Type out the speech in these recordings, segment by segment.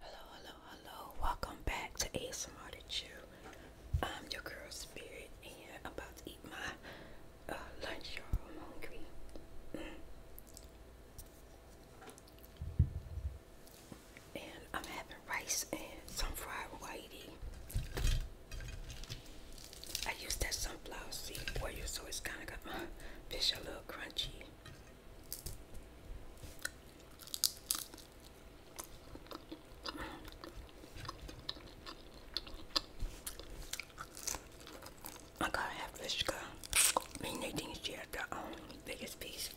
Hello, hello, hello. Welcome back to ASMR to Chew. I'm your girl Spirit and I'm about to eat my uh, lunch, y'all. I'm hungry. Mm. And I'm having rice and some fried whitey. I use that sunflower seed oil so it's kind of got my uh, fish a little crunchy. I gotta have this girl. I mean, they the um, biggest piece.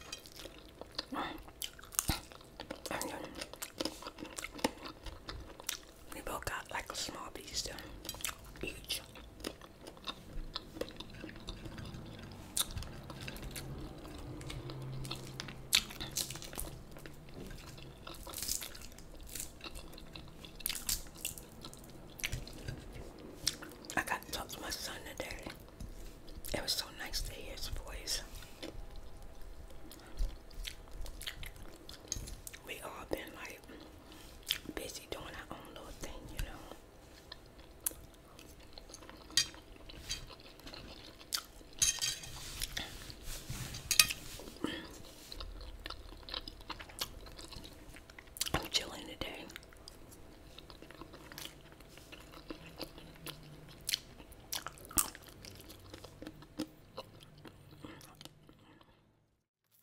we both got like a small piece to each. I got to talk to my son today. It was so nice to hear his voice. We all been like busy doing our own little thing, you know. I'm chilling today.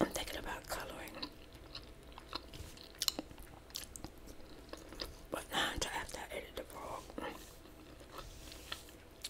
I'm thinking about coloring, but not after I edit the vlog.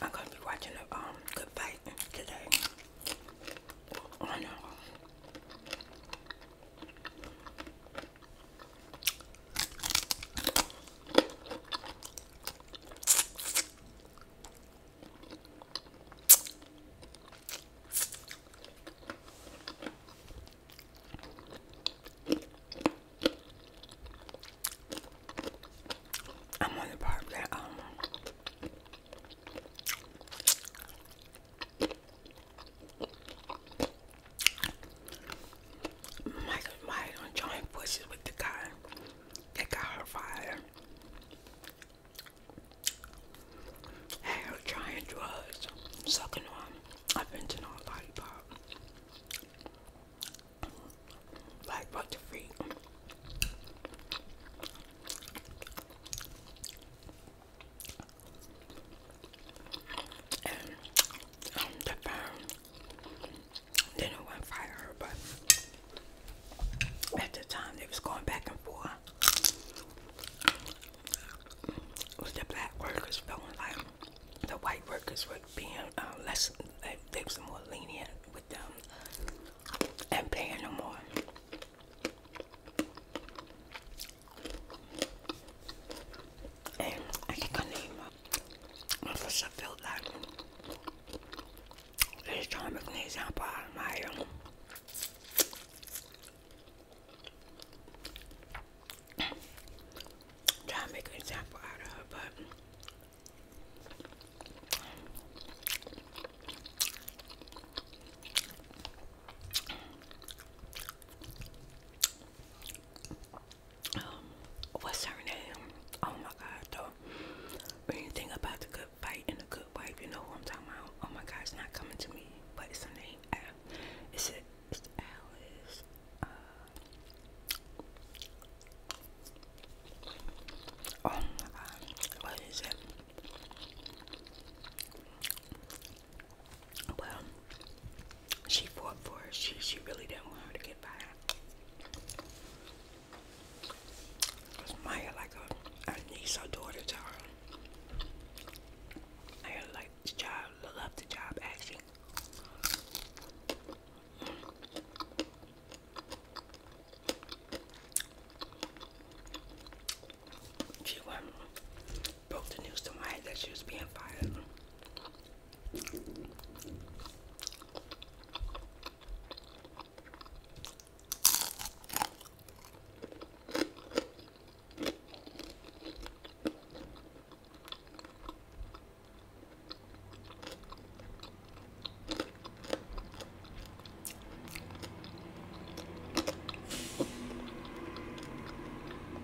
I'm gonna be watching a um good fight today. I know. I'm on the part that um my my joint pushes with the guy that got her fired. Had her trying drugs, sucking on, inventing on a lollipop. Like what the freak. And um, um, the firm didn't want fire but at the time they was going back and forth. Was the black workers feeling like the white workers were being uh, less, they was more lenient with them and paying them more. Eh, aquí i Man får så fel där. Det är som att knisa på armarna. Trying to make an example out of her, but um, what's her name? Oh my God, though. When about the good fight and the good wife, you know who I'm talking about. Oh my God, it's not coming to me, but her name. Al it's Alice. Uh, oh my God, what is it? Well, she fought for her. She she really didn't want her to get violent. Cause Maya like a, niece or daughter to her. I like the job, love the job actually. She went broke the news to my that she was being fired.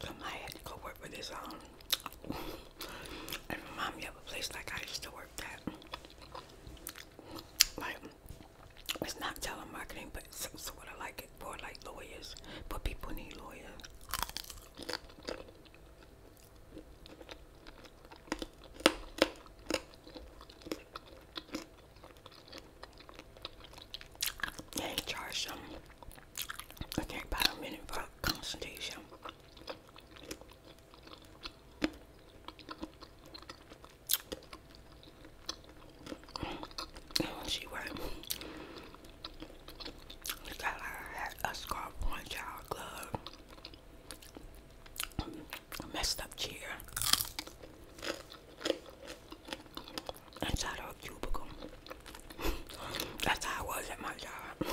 Somebody had to go work with um, And remind me of a place like I used to work at. Like, it's not telemarketing, but it's some sort of like it for like lawyers. But people need lawyers. They charge them. I can for a she right. it got a scarf on, child glove, messed up chair inside of cubicle. That's how I was at my job.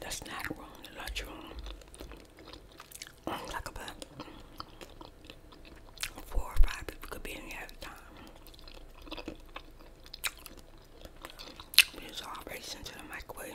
The snack room, the lunch room, mm, like about four or five people could be in there at a time. We just all racing to the microwave.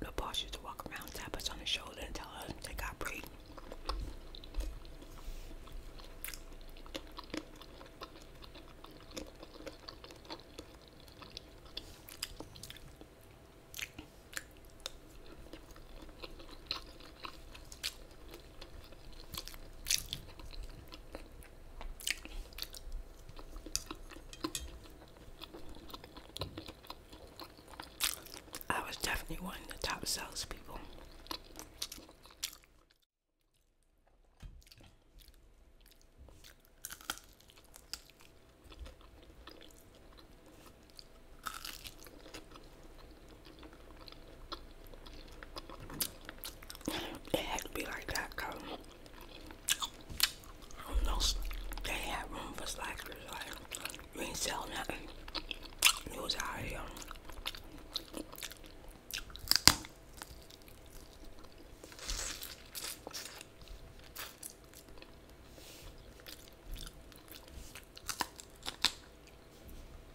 The boss used to walk around, tap us on the shoulder, and tell us to take got break. I was definitely one of the top salespeople. It had to be like that, cause who They had room for slackers. Like you ain't sell nothing. You was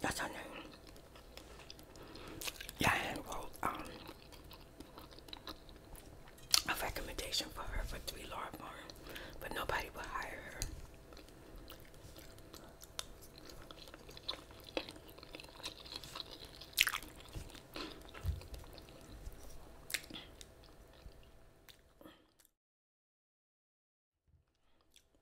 That's her name. Yeah, I had wrote um, a recommendation for her for three law firms, but nobody would hire her.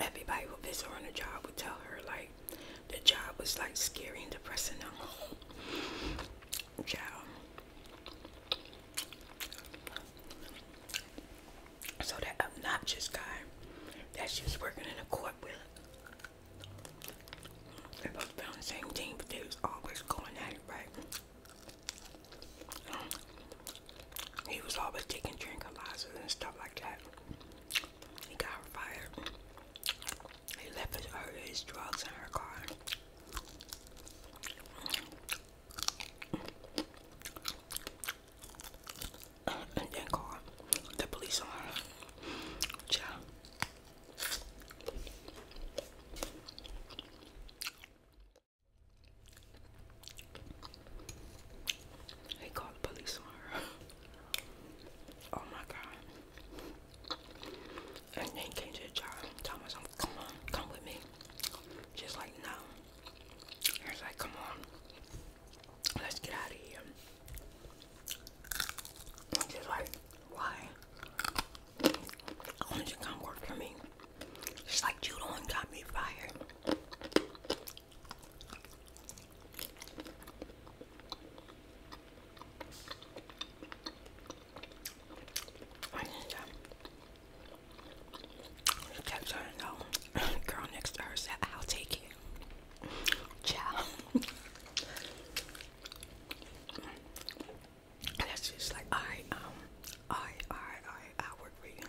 Everybody who visits her on the job would tell her like the job was like scary and depressing now. Child. So that obnoxious guy that she was working in a court with. They both been the same team, but they was always going at it, right? He was always taking tranquilizers and stuff like that. He got fired. He left his, uh, his drugs in her car. And then called the police on her. Child. They called the police on her. oh my god. And then came to the job, told myself, come on, come with me. Just like no. I like, come on, let's get out of here. she's like, why? I want you to come work for me. Just like you the one got me fired. I need to text her and know. Girl next to her said, I'll take it. Ciao. And that's just like I um I I I I work for you.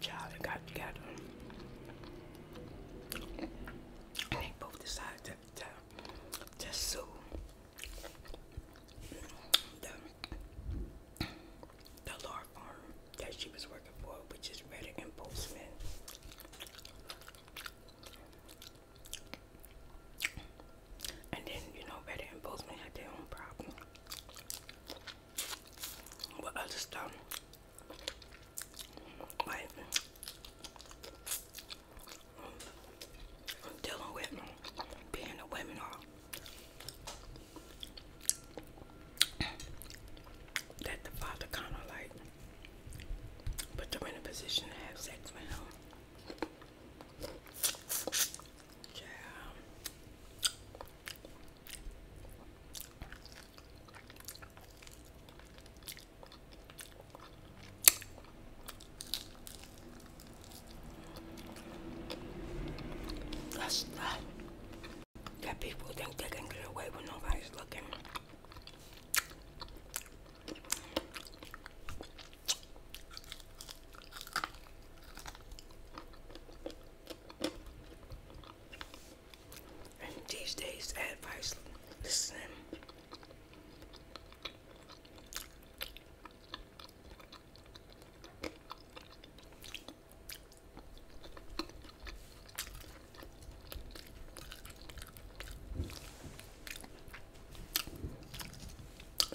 Charlie got together. And they both decided to, sue the, the law firm that she was working for, which is Reddick and Postman. And then, you know, Betty and Bozeman had their own problem. With other stuff. Like, dealing with being a women all that the father kind of like Put them in a position to have sex with him. Yeah. That's that. That people think they can get away when nobody's looking these days, advice, the same.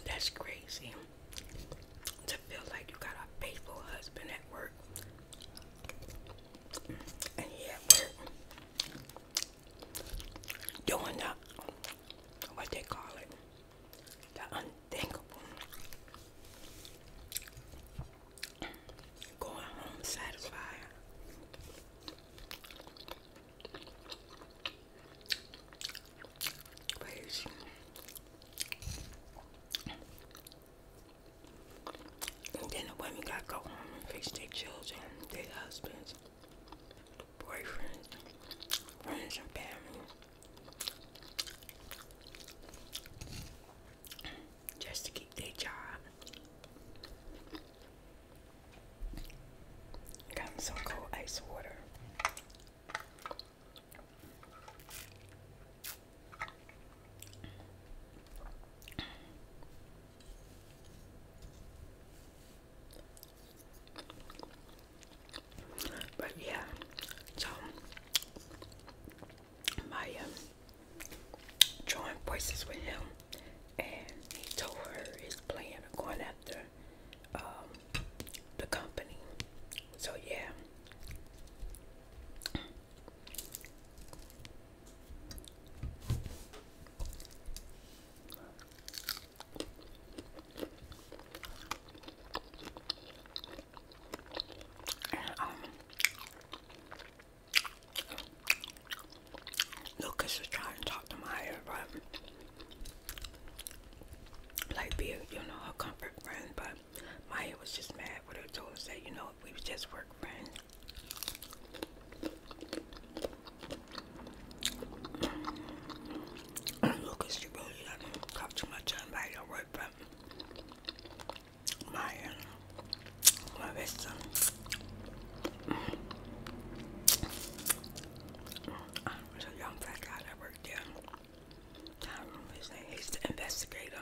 That's crazy. To feel like you got a faithful husband at work. And he at work doing the what they call it. The unthinkable. Going home satisfied and then the women got go home and face their children, their husbands, boyfriends, friends and family. Just to keep their job. Got some cold ice water. But yeah, so my um, voices with him and he told her his plan of going after um, the company. So yeah. Um, Lucas was trying to talk to Maya about like being, you know, her comfort friend, but Maya was just mad with her told and said, you know, we just work friends. Lucas, she really does too much about your work, but Maya Uma vez só. a ah, young fat guy that worked there. Time ah, his name. He's the investigator.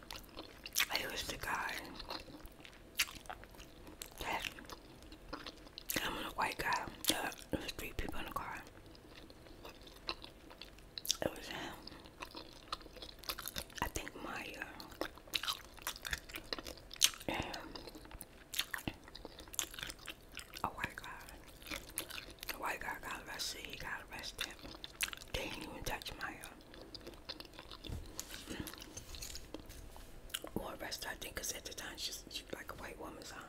he was the guy I'm a white guy. Uh, was three people in the car. It was him. I think Maya. a white guy. A white guy got arrested. He got arrested. They didn't even touch my hair. Uh, or rest, I think, at the time she's, like a white woman's huh?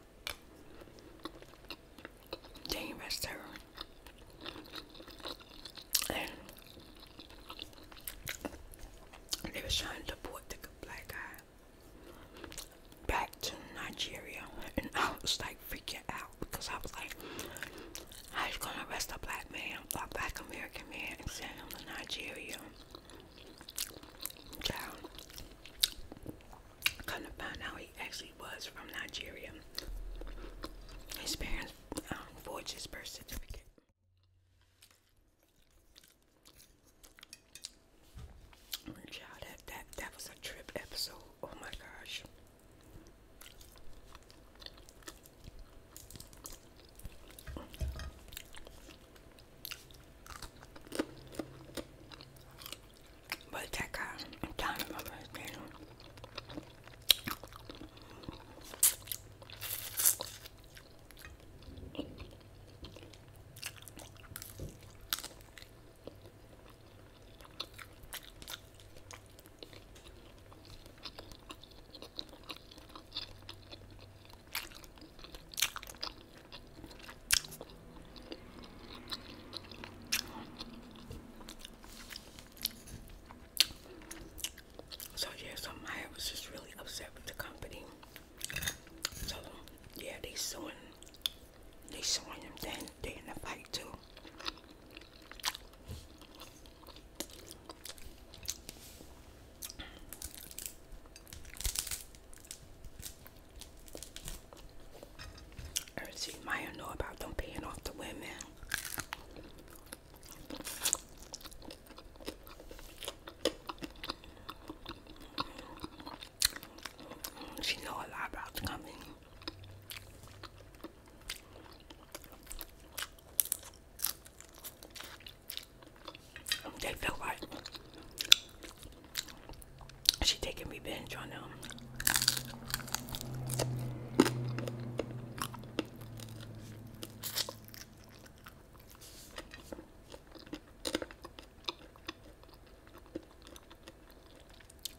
They ain't rest her. they was trying to deport the black guy back to Nigeria, and I like freaking out because I was like, I was gonna arrest a black man, a black American man, and send him to Nigeria. Child, come to find out he actually was from Nigeria. His parents um, forged his birth certificate. Child, that, that, that was a trip episode oh my gosh. But that guy, I'm trying to remember so yeah, so I was just really upset with the company. So yeah, they are suing, they are suing them. Then they in a the fight too. And Maya know about them paying off the women. She know a lot about coming. They feel like she taking revenge on them.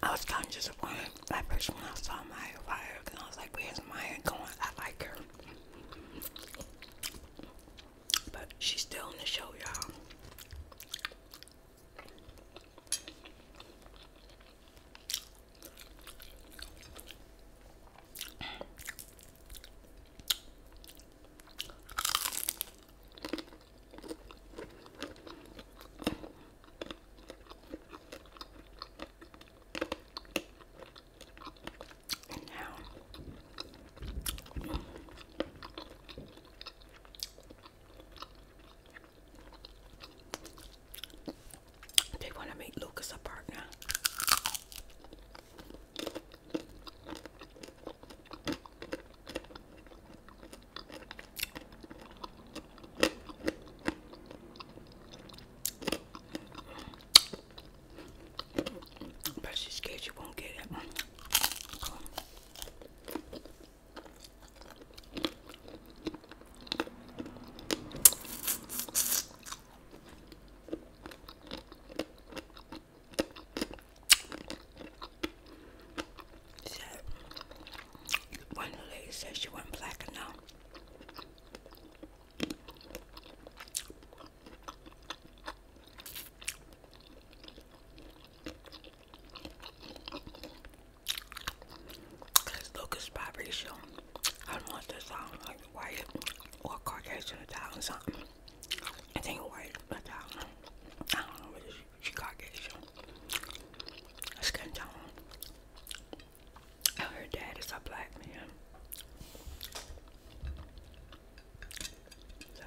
I was kind of disappointed at first when I saw Maya Fire because I was like, where's Maya going? I like her. But she's still in the show, y'all. And now they want to make Lucas a partner. I'm she's scared you won't get it. Said, one the ladies said she went black enough. Cause Lucas biracial. I don't want to sound like white or Caucasian Italian song. I think white Italian. I don't know whether she's Caucasian. Skin tone. And her dad is a black man. So.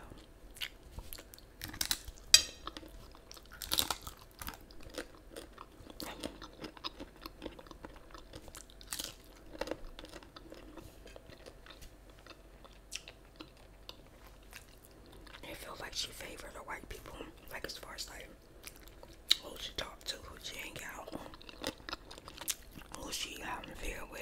It feels like she favored the white people, like as far as like who she talked to, who she hang out, who she out um, in fear with.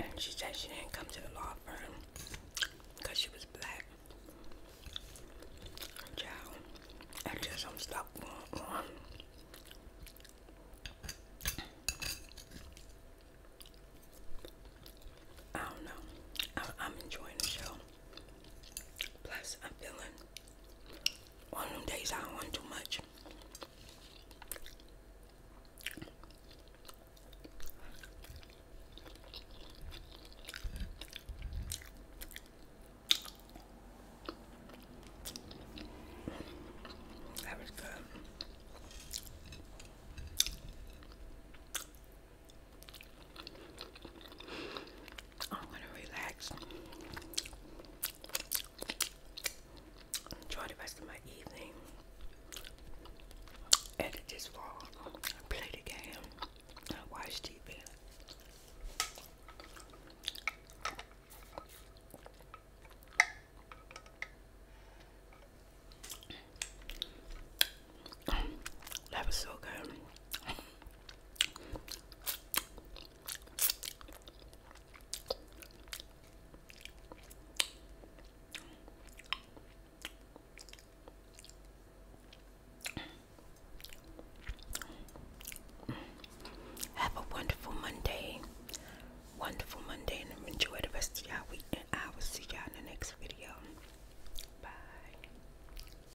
And she said she didn't come to the law firm because she was black. Child, I just I'm stuck I don't know. I'm enjoying the show. Plus, I'm feeling one of them days I don't want too much. That was good. I'm gonna relax. Enjoy the rest of my evening. Edit this vlog. Play the game. watch TV. That was so good. Have a wonderful Monday. Wonderful Monday and enjoy the rest of your week and I will see y'all in the next video. Bye.